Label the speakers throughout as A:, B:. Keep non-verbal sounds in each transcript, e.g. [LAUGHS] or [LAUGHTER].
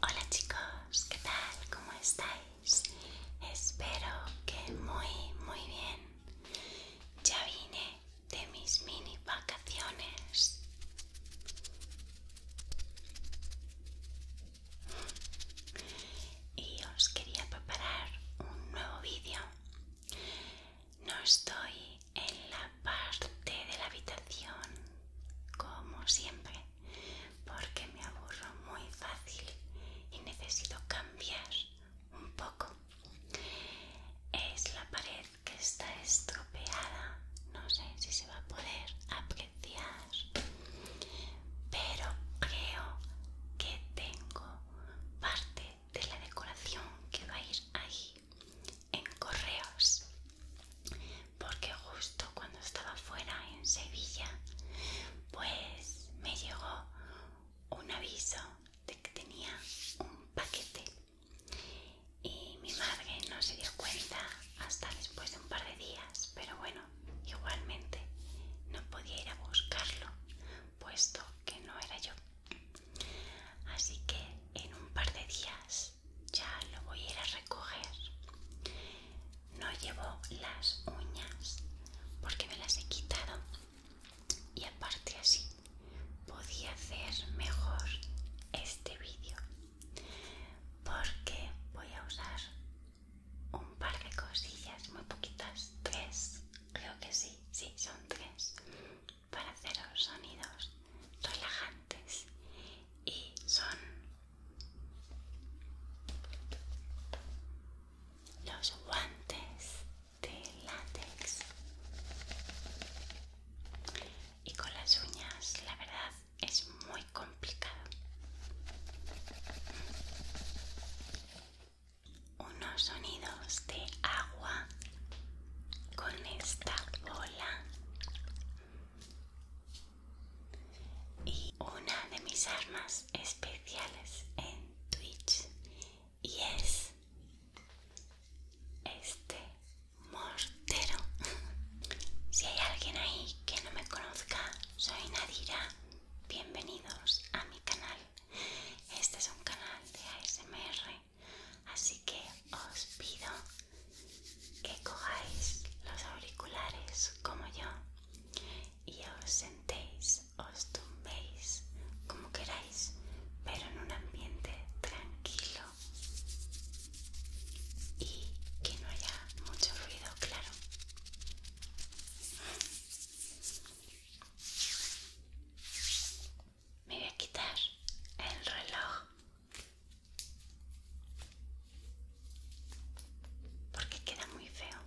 A: Hola chicos, ¿qué tal? ¿Cómo estáis? Espero que muy, muy bien. Ya vine de mis mini vacaciones. Y os quería preparar un nuevo vídeo no estoy en la parte de la habitación como siempre porque me aburro muy fácil y necesito cambiar un poco. Es la pared que está estropeada, no sé si se va a poder apreciar, pero creo que tengo parte de la decoración que va a ir ahí en correos porque justo cuando estaba fuera en Sevilla pues me llegó un aviso de que tenía un paquete y mi madre no se dio cuenta hasta después de un par de días pero bueno igualmente no podía ir a buscarlo puesto que no era yo Así que en un par de días ya lo voy a ir a recoger. No llevo las uñas porque me las he quitado y aparte así podía hacer mejor este vídeo porque voy a usar un par de cosillas muy poquitas tres creo que sí sí son tres para haceros sonidos relajantes y son los guantes de látex y con las uñas la verdad es muy complicado unos sonidos de agua con esta bola y una de mis armas especiales en Twitch y es este mortero [LAUGHS] si hay alguien ahí que no me conozca soy Nadira bienvenidos a mi canal este es un canal de ASMR Así que os pido que cojáis los auriculares como yo y os sentéis, os tumbéis como queráis, pero en un ambiente tranquilo y que no haya mucho ruido, claro me voy a quitar el reloj porque queda muy feo.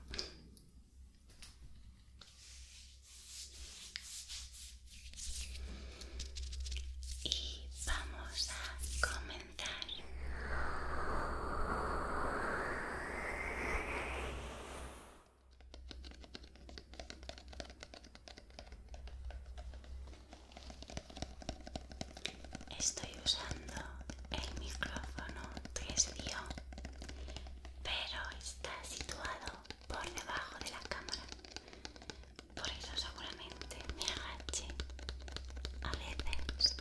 A: Y vamos a comentar. Estoy usando el micrófono 3 dio pero está situado por debajo de la cámara. Por eso seguramente me agache a veces.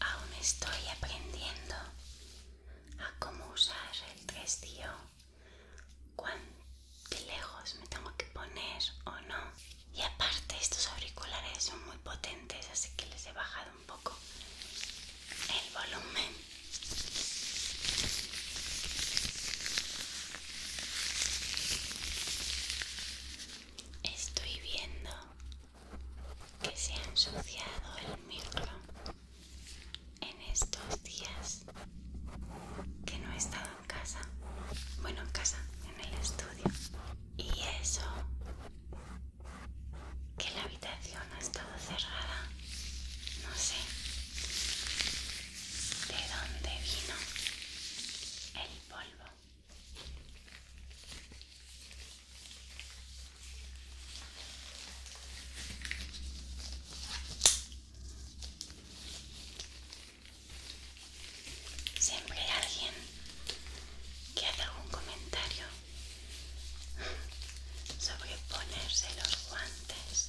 A: Aún estoy aprendiendo a cómo usar el testio, cuán lejos me tengo que poner o no. Y aparte estos auriculares son muy potentes, así que les he bajado un poco el volumen. Estoy viendo que se ha ensuciado el micro en estos días que no he estado en casa, bueno, en casa, en el estudio. Y eso, que la habitación ha estado cerrada, no sé de dónde vino el polvo. Siempre hay alguien que hace un comentario sobre ponerse los guantes.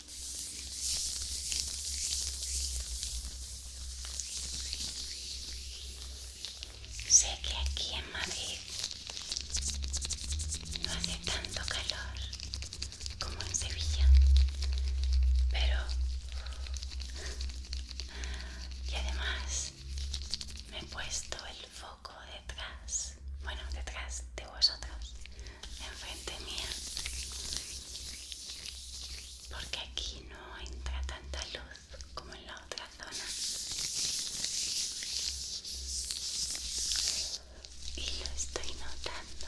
A: Sé que aquí en Madrid no hace tanto calor como en Sevilla, pero... Y además me he puesto el foco detrás, bueno, detrás de vosotros enfrente mía porque aquí no entra tanta luz como en la otra zona y lo estoy notando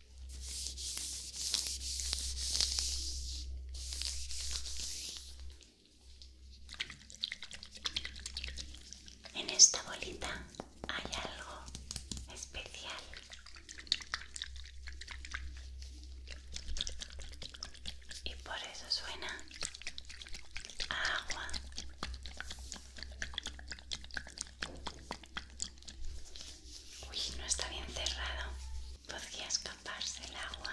A: En esta bolita hay algo especial. Y por eso suena agua. Uy, no está bien cerrado podría escaparse el agua.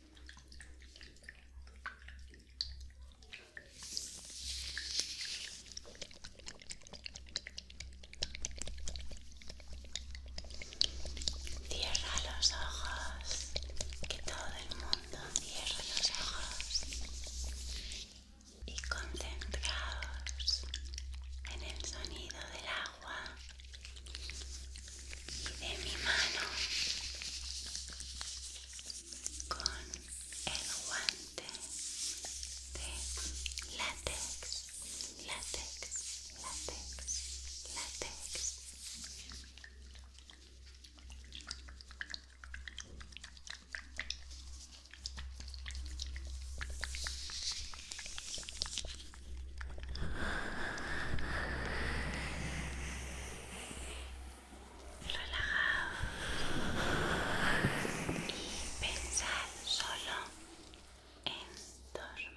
A: Cierra los ojos, que todo el mundo cierre los ojos y concentrados en el sonido del agua y de mi mano con el guante de látex, látex, látex, látex relajado y pensar solo en dormir.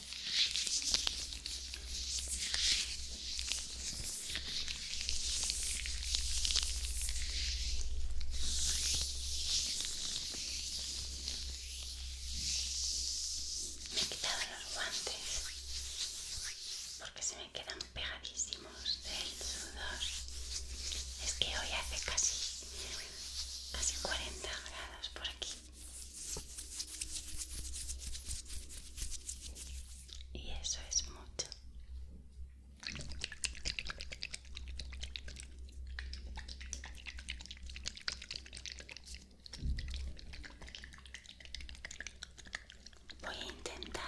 A: Me he quitado los guantes porque se me quedan pegadísimos del sudor. Es que hoy hace casi, casi 40 grados por aquí. Y eso es mucho. Voy a intentar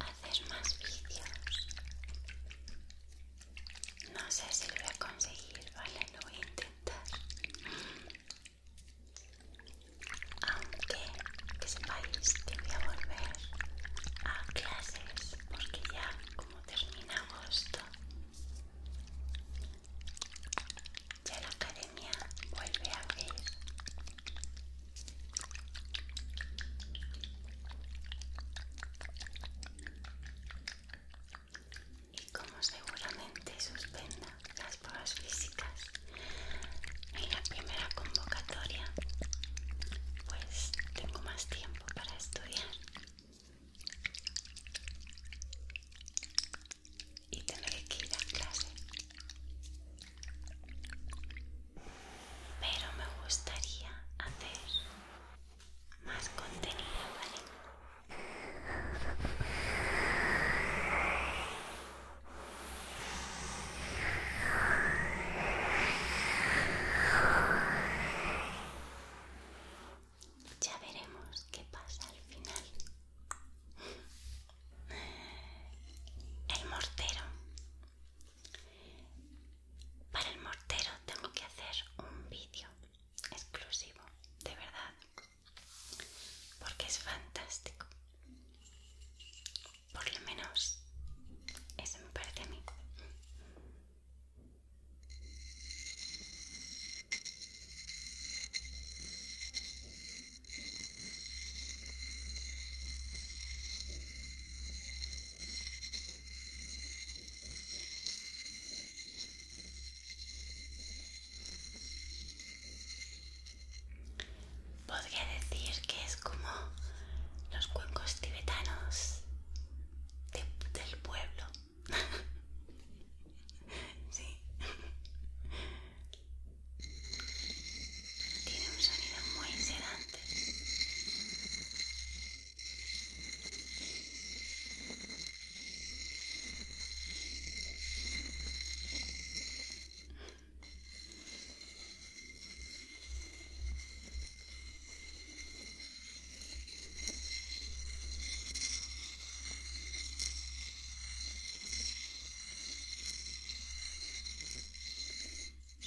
A: hacer más vídeos no sé si lo voy a conseguir, vale, lo voy a intentar. Aunque que sepáis que voy a volver a clases porque ya como termina agosto, ya la academia vuelve a abrir y como seguramente suspenda las pruebas físicas en la primera convocatoria, pues tengo más tiempo para estudiar y tendré que ir a clase. Pero me gustaría hacer más contenido, ¿vale? Ya veremos qué pasa al final. El mortero. Para el mortero tengo que hacer un vídeo exclusivo, de verdad, porque es fantástico. Por lo menos, eso me parece a mí. Podría decir que es como los cuencos tibetanos del pueblo. [LAUGHS] Tiene un sonido muy sedante.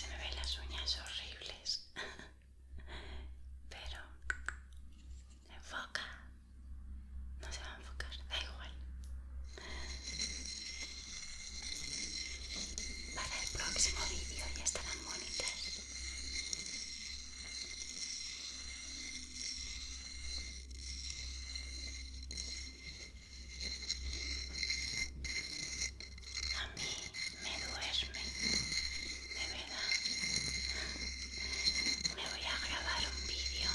A: Se me ven las uñas horribles. [LAUGHS] Pero enfoca. No se va a enfocar, da igual. Para el próximo vídeo ya estarán bonitas. A me duerme, de verdad. Me voy a grabar un vídeo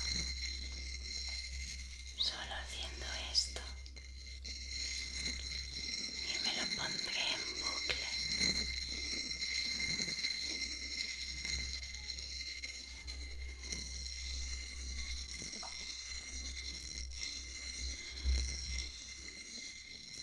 A: solo haciendo esto y me lo pondré en bucle.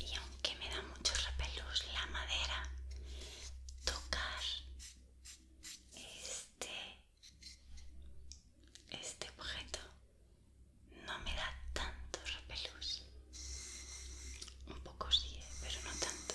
A: y aunque me da mucho repelús la madera, tocar este, este objeto no me da tanto repelús. Un poco sí, ¿eh? pero no tanto.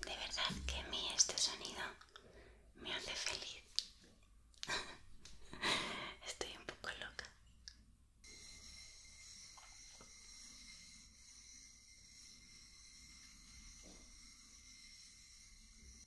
A: De verdad que a mí este sonido me hace feliz. [LAUGHS] Estoy un poco loca.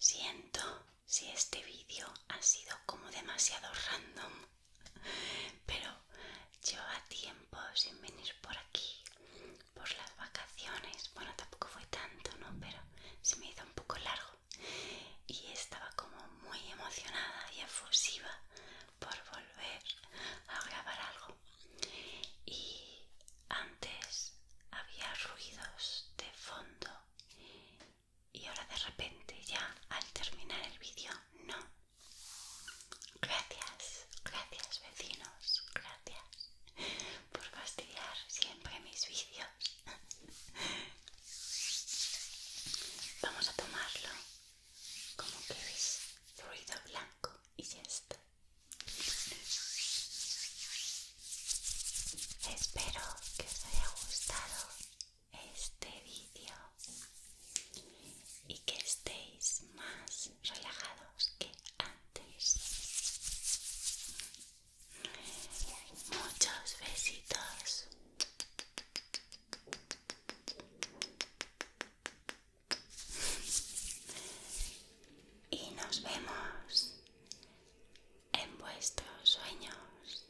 A: Siento si este vídeo ha sido como demasiado random, pero lleva tiempo sin venir por aquí por las vacaciones, bueno tampoco fue tanto, ¿no? Pero se me hizo un poco largo y estaba como muy emocionada y efusiva por volver a grabar algo. Y antes había ruidos de fondo y ahora de repente ya al terminar el vídeo no. Gracias, gracias vecinos, gracias por fastidiar siempre mis vídeos Vamos a tomarlo como que es ruido blanco y ya está. Espero que os haya gustado este vídeo y que estéis más relajados que antes. Muchos besitos. Y nos vemos en vuestros sueños.